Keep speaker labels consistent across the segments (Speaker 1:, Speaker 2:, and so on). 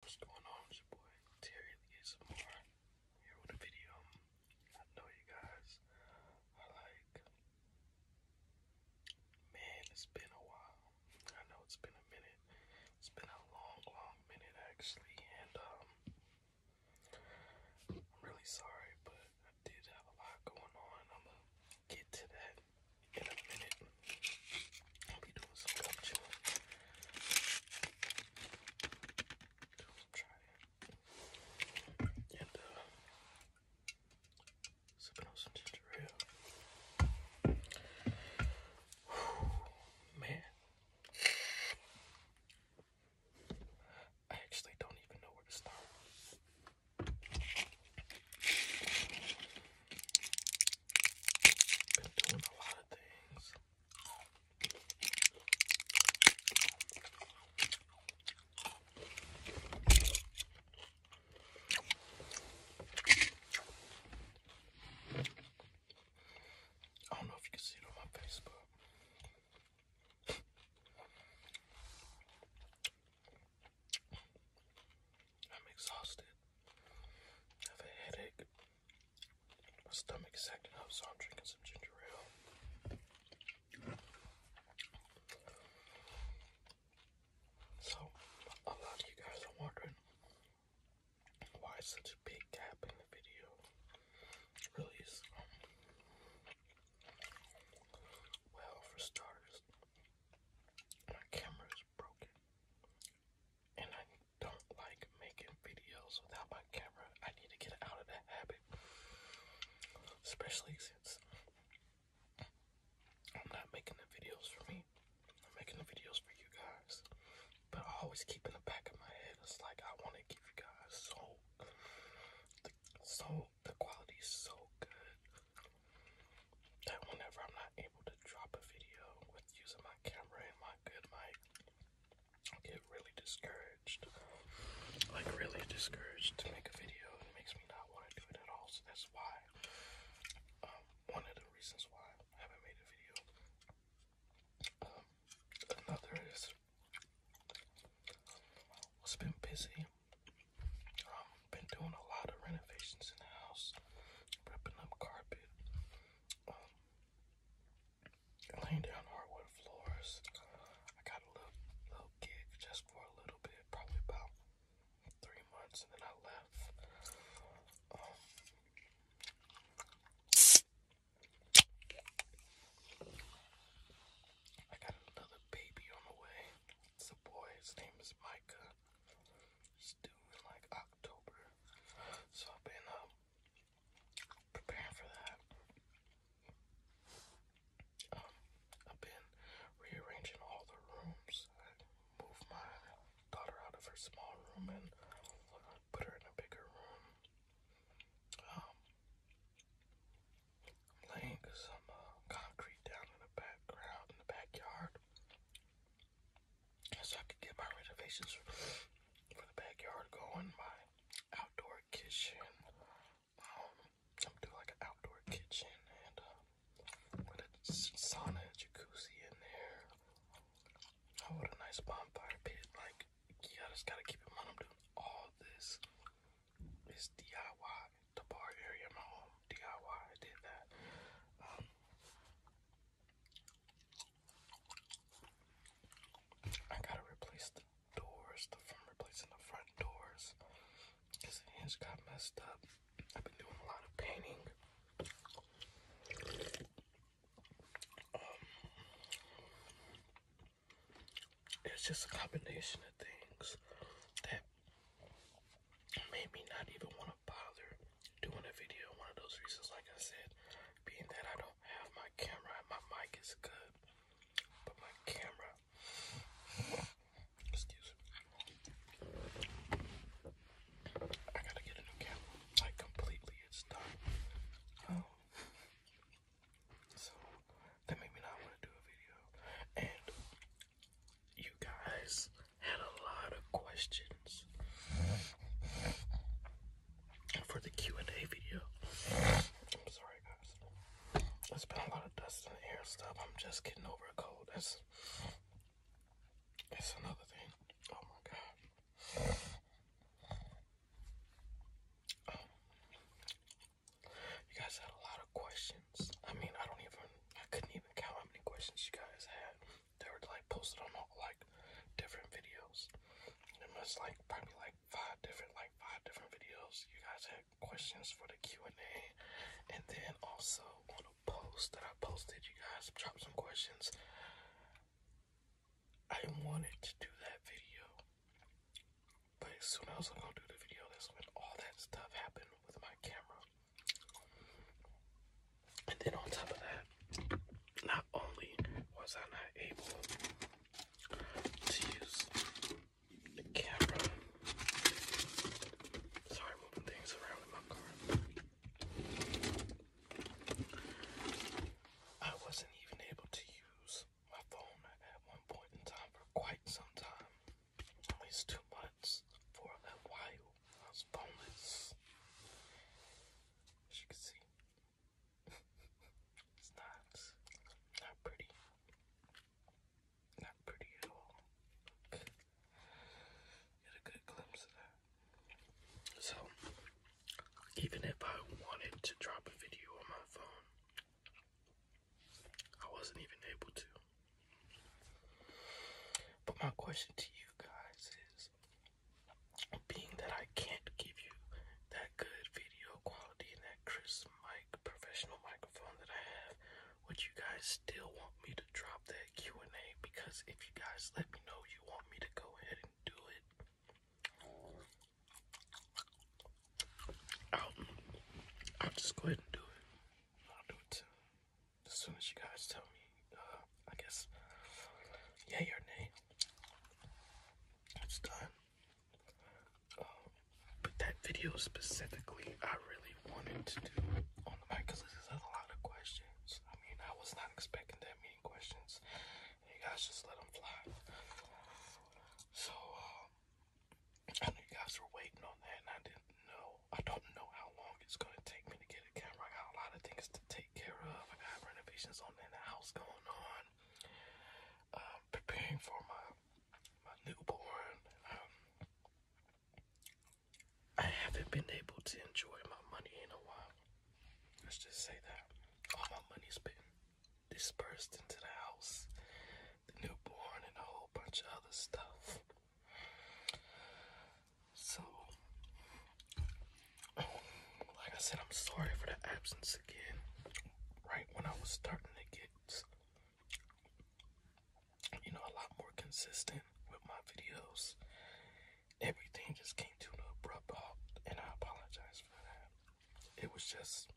Speaker 1: What's going on? It's your boy Terry get some here with a video. I know you guys are like, man, it's been a while. I know it's been a minute. It's been a long, long minute actually, and um, I'm really sorry, but I did have a lot going on. I'm gonna get to that in a minute. I'll be doing some gum chewing. some trying. And, uh, sipping on some ginger man. I actually don't even know where to start. Been doing a lot of things. I don't know if you can see it on my face, I'm exhausted. have a headache. My stomach's acting up, so I'm drinking some ginger ale. So, a lot of you guys are wondering why such a big gap in the video release. Um, well, for starters, my camera is broken and I don't like making videos without my camera. I need to get out of that habit, especially since I'm not making the videos for me. I'm making the videos for you guys, but I always keep in the back of my head. It's like I want to give you guys so, the, so the quality is so good that whenever I'm not able to drop a video with using my camera and my good mic, get really discouraged. Like, really discouraged to make a video. It makes me not want to do it at all. So that's why, um, one of the reasons why I haven't made a video. Um, another is, it's been busy. Um, been doing a lot of renovations in the house, ripping up carpet, um, laying down hardwood floors. I got a little little gig just for a little bit, probably about three months, and then I left. Um, I got another baby on the way. It's a boy. His name is Micah. He's due like October. So I've been um prepare for that. Um, I've been rearranging all the rooms. I my daughter out of her small room and put her in a bigger room. Um, laying some uh, concrete down in the background in the backyard so I could get my renovations for the backyard going, my outdoor kitchen. Um, I'm doing like an outdoor kitchen and uh, a sauna jacuzzi in there. Oh, what a nice bonfire pit. Like, yeah, I just gotta keep in mind I'm doing all this. It's DIY. The bar area in my home, DIY, I did that. Um, I gotta replace the doors, the front, replacing the front doors. Cause the hinge got messed up. I've been doing a lot of painting. Um, it's just a combination of things that made me not even want to bother doing a video. One of those reasons, like I said, being that I don't have my camera, my mic is good, but my camera, excuse me, I gotta get a new camera. I completely, it's done. Um, so that made me not want to do a video, and you guys had a lot of questions for the Q&A video. I'm sorry guys. There's been a lot of dust in air stuff. I'm just getting over a cold. That's, that's another thing. Oh my god. you guys had a lot of questions. I mean, I don't even, I couldn't even count how many questions you guys had. They were like posted on all like different videos. It was like probably like five different like five different videos. You guys had questions for the Q and A, and then also on a post that I posted, you guys dropped some questions. I wanted to do that video, but as soon as I was gonna do the video, that's when all that stuff happened with my camera. And then on top of that, not only was I not able to use the camera, sorry, moving things around in my car. I wasn't even able to use my phone at one point in time for quite some time, at least two months. For a while, I was boneless. As you can see, it's not not pretty. Not pretty at all. Get a good glimpse of that. So even if I wanted to drop a video on my phone, I wasn't even able to. But my question to you guys is being that I can't give you that good video quality and that crisp mic, professional microphone that I have, would you guys still want me to drop that Q&A? Because if you guys let me know you want me to go ahead and do it, I'll, just go ahead and do it. I'll do it As soon as you guys tell me uh, I guess yay or nay. It's done. Um, but that video specifically, I really wanted to do on the mic because there's a lot of questions. I mean, I was not expecting that many questions. You guys just let them fly. So, um, I know you guys were waiting on that, and I didn't know. I don't know how long it's gonna take get a camera. I got a lot of things to take care of. I got renovations on in the house going on. Um, preparing for my my newborn. Um, I haven't been able to enjoy my money in a while. Let's just say that all my money's been dispersed into the house, the newborn, and a whole bunch of other stuff. So, like I said, I'm sorry for the absence again. Right when I was starting to get, you know, a lot more consistent with my videos, everything just came to an abrupt halt, and I apologize for that. It was just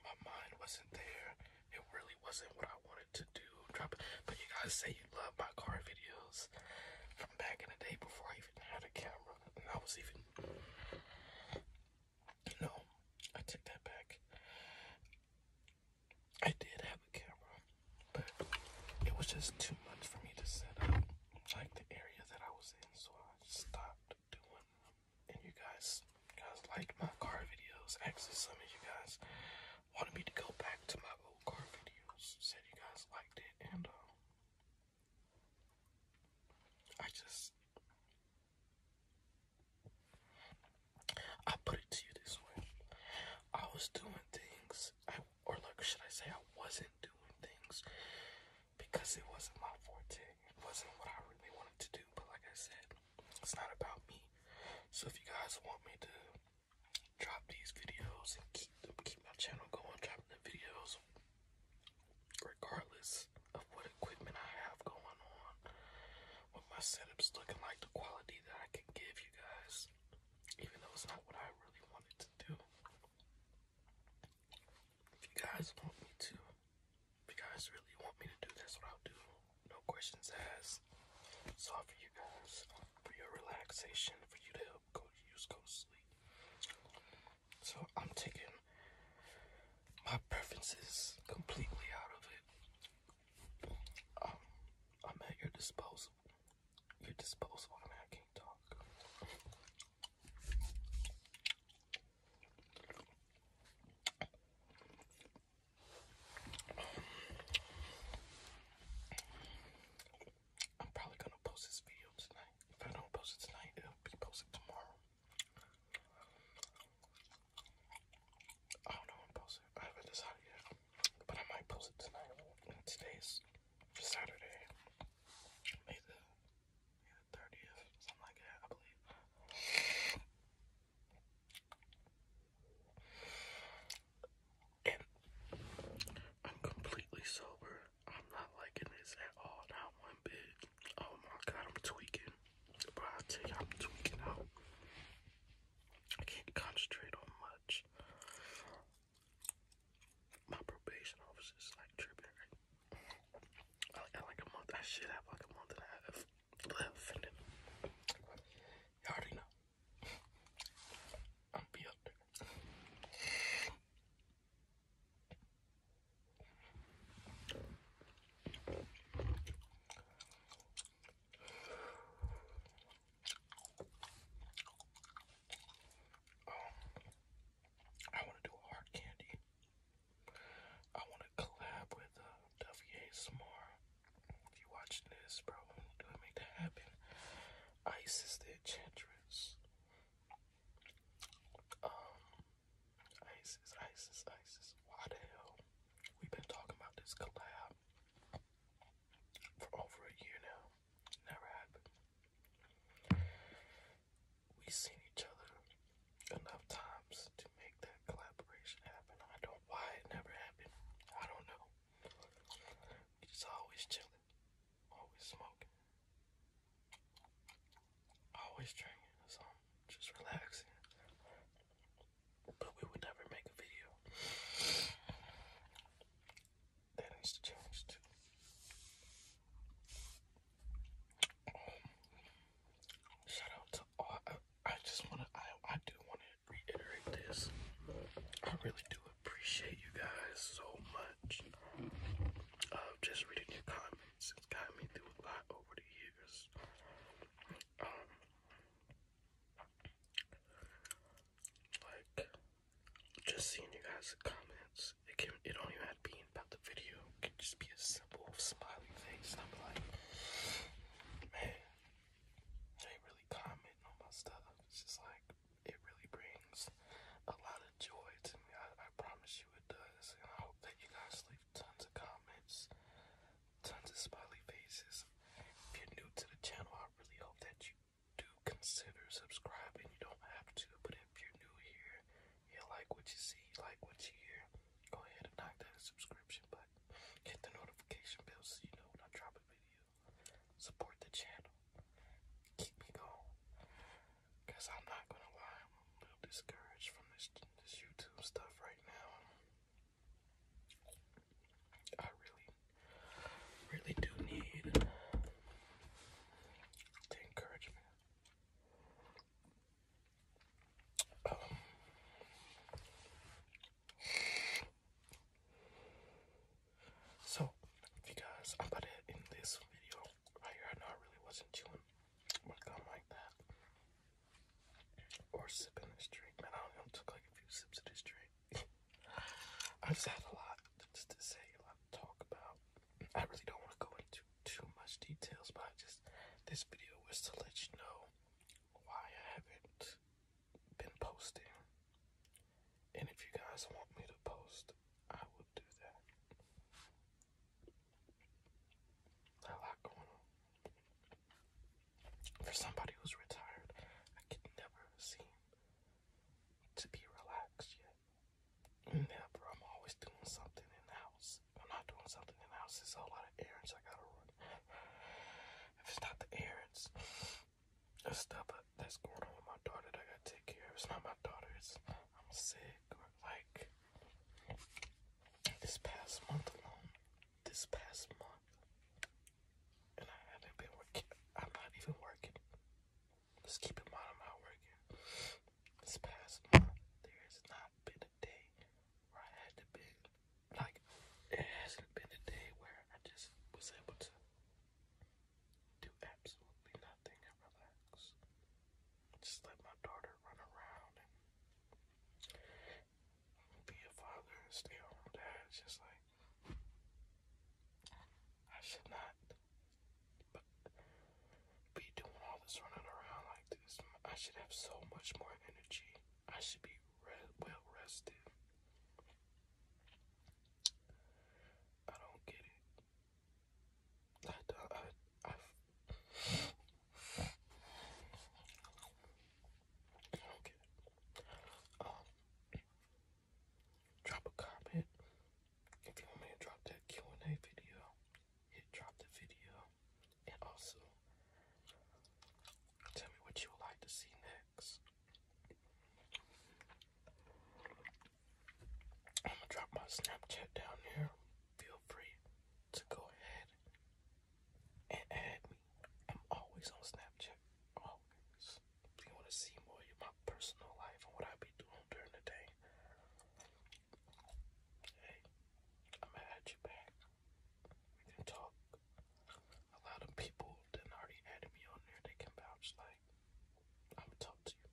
Speaker 1: my mind wasn't there. It really wasn't what I wanted to do. Drop But you guys say you love my car videos from back in the day before I even had a camera, and I was even. No, I take that back. I did have a camera, but it was just too much for me to set up, like the area that I was in, so I stopped doing. And you guys, guys liked my car videos. Actually, some of you guys wanted me to go back to my old car videos. Said you guys liked it, and um, I just I put it to you this way. I was doing things or like should I say I wasn't doing things because it wasn't my forte. It wasn't what I really wanted to do, but like I said, it's not about me. So if you guys want me to drop these videos and keep keep my channel going, dropping the videos, regardless of what equipment I have going on, what my setup's looking like, the quality that I can give you guys, even though it's not what I really wanted to do. If you guys want me to, if you guys really want me to do, that's what I'll do. No questions asked. It's all for you guys, for your relaxation, for you to go go go sleep. So I'm taking my preferences completely out of it. Um, I'm at your disposal. Your disposal. I mean, I can't talk. I'm probably gonna post this video tonight. If I don't post it tonight, it'll be posted tomorrow. I don't know when to post it. I haven't decided yet. But I might post it tonight. today's Saturday. May the, 30th, something like that, I believe. I'm completely sober. I'm not liking this at all, not one bit. Oh my god, I'm tweaking. But I tell you, I'm tweaking out. I can't concentrate on much. My probation officer is like tripping. I got like a month. I should have like a month and a half left. And then, you already know. I'm be up there. I want to do a hard candy. I want to collab with uh, WA Smar. If you're watching this, bro, do I make that happen? Isis the Enchantress. Um, ISIS, ISIS, ISIS. Why the hell? We've been talking about this collab for over a year now. Never happened. We've seen each other enough times to make that collaboration happen. I don't why it never happened. I don't know. We just always chilling. Always smoking. Always drinking Just relaxing. But we would never make a video. That needs to change Shout out to all. I, I just want to, I, I do want to reiterate this. I really do appreciate you guys so much. Uh, just reading your comments, it's got me through a lot over the years. Um, like, just seeing you guys' comments, it can it don't even have to be about the video. It can just be a simple smiley face. I'm like, man, they really comment on my stuff. It's just like it really brings a lot of joy to me. I, promise you it does. And I hope that you guys leave tons of comments, tons of smiley faces. If you're new to the channel, I really hope that you do consider subscribing. You don't have to, but if you're new here, you like what you see, like what you hear, go ahead and knock that subscription button. Hit the notification bell so you know when I drop a video. Support the channel. Keep me going. Cause I'm not gonna lie, I'm a little discouraged from this this YouTube stuff right now. I really, really do need the encouragement. Um, so, if you guys, I'm gonna end this video right here. I know I really wasn't chewing my gum like that or sipping this drink. Man, I only took like a few sips of this drink. I just had a lot to say, a lot to talk about. I really don't want to go into too much details, but just this video was to let you know why I haven't been posting and if you guys want me to post, I will do that. I like going on. For somebody who's retired, I could never seem to be relaxed yet. Never. I'm always doing something in house. I'm not doing something in house, there's a lot of errands I gotta run. If it's not the errands, it's stuff that's going on with my daughter I gotta take care It's not my daughter, it's I'm sick like this past month alone. This past month. And I haven't been working. I'm not even working. Just keep in mind I'm not This past month there has not been a day where I had to be like it hasn't been a day where I just was able to do absolutely nothing and relax. Just let my daughter run around and be a father and stay home dad. just like I should not but be doing all this running around like this. I should have so much more energy. I should be re- well rested. I don't get it. I, I, I, I don't get it. Um, drop a comment if you want me to drop that Q&A video. Hit drop the video, and also tell me what you would like to see next. I'm gonna drop my Snapchat down here. Feel free to go ahead and add me. I'm always on Snapchat. Always. If you want to see more of my personal life and what I be doing during the day, hey, I'm gonna add you back. We can talk. A lot of people that already added me on there, they can vouch like, I'm gonna talk to you.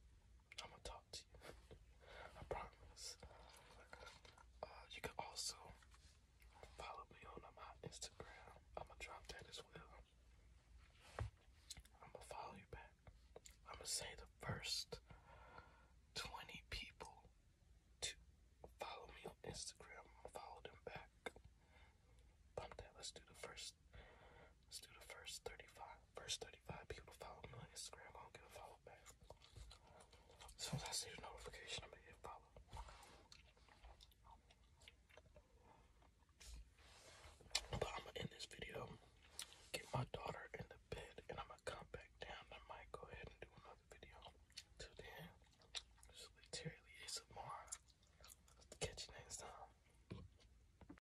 Speaker 1: I'm gonna talk to you. I promise. Uh, you can also follow me on uh, my Instagram. I'm gonna drop that as well. I'm gonna follow you back. I'm gonna say the first 20 people to follow me on Instagram. I'm them back. Bump that. Let's do the first let Let's do the first 35. First 35 people follow me on Instagram. I don't get a follow back. As soon as I see the notification, I'm gonna hit follow. But I'm gonna end this video, get my daughter in the bed, and I'm gonna come back down. I might go ahead and do another video. Till then, this is literally ASMR. Catch you next time.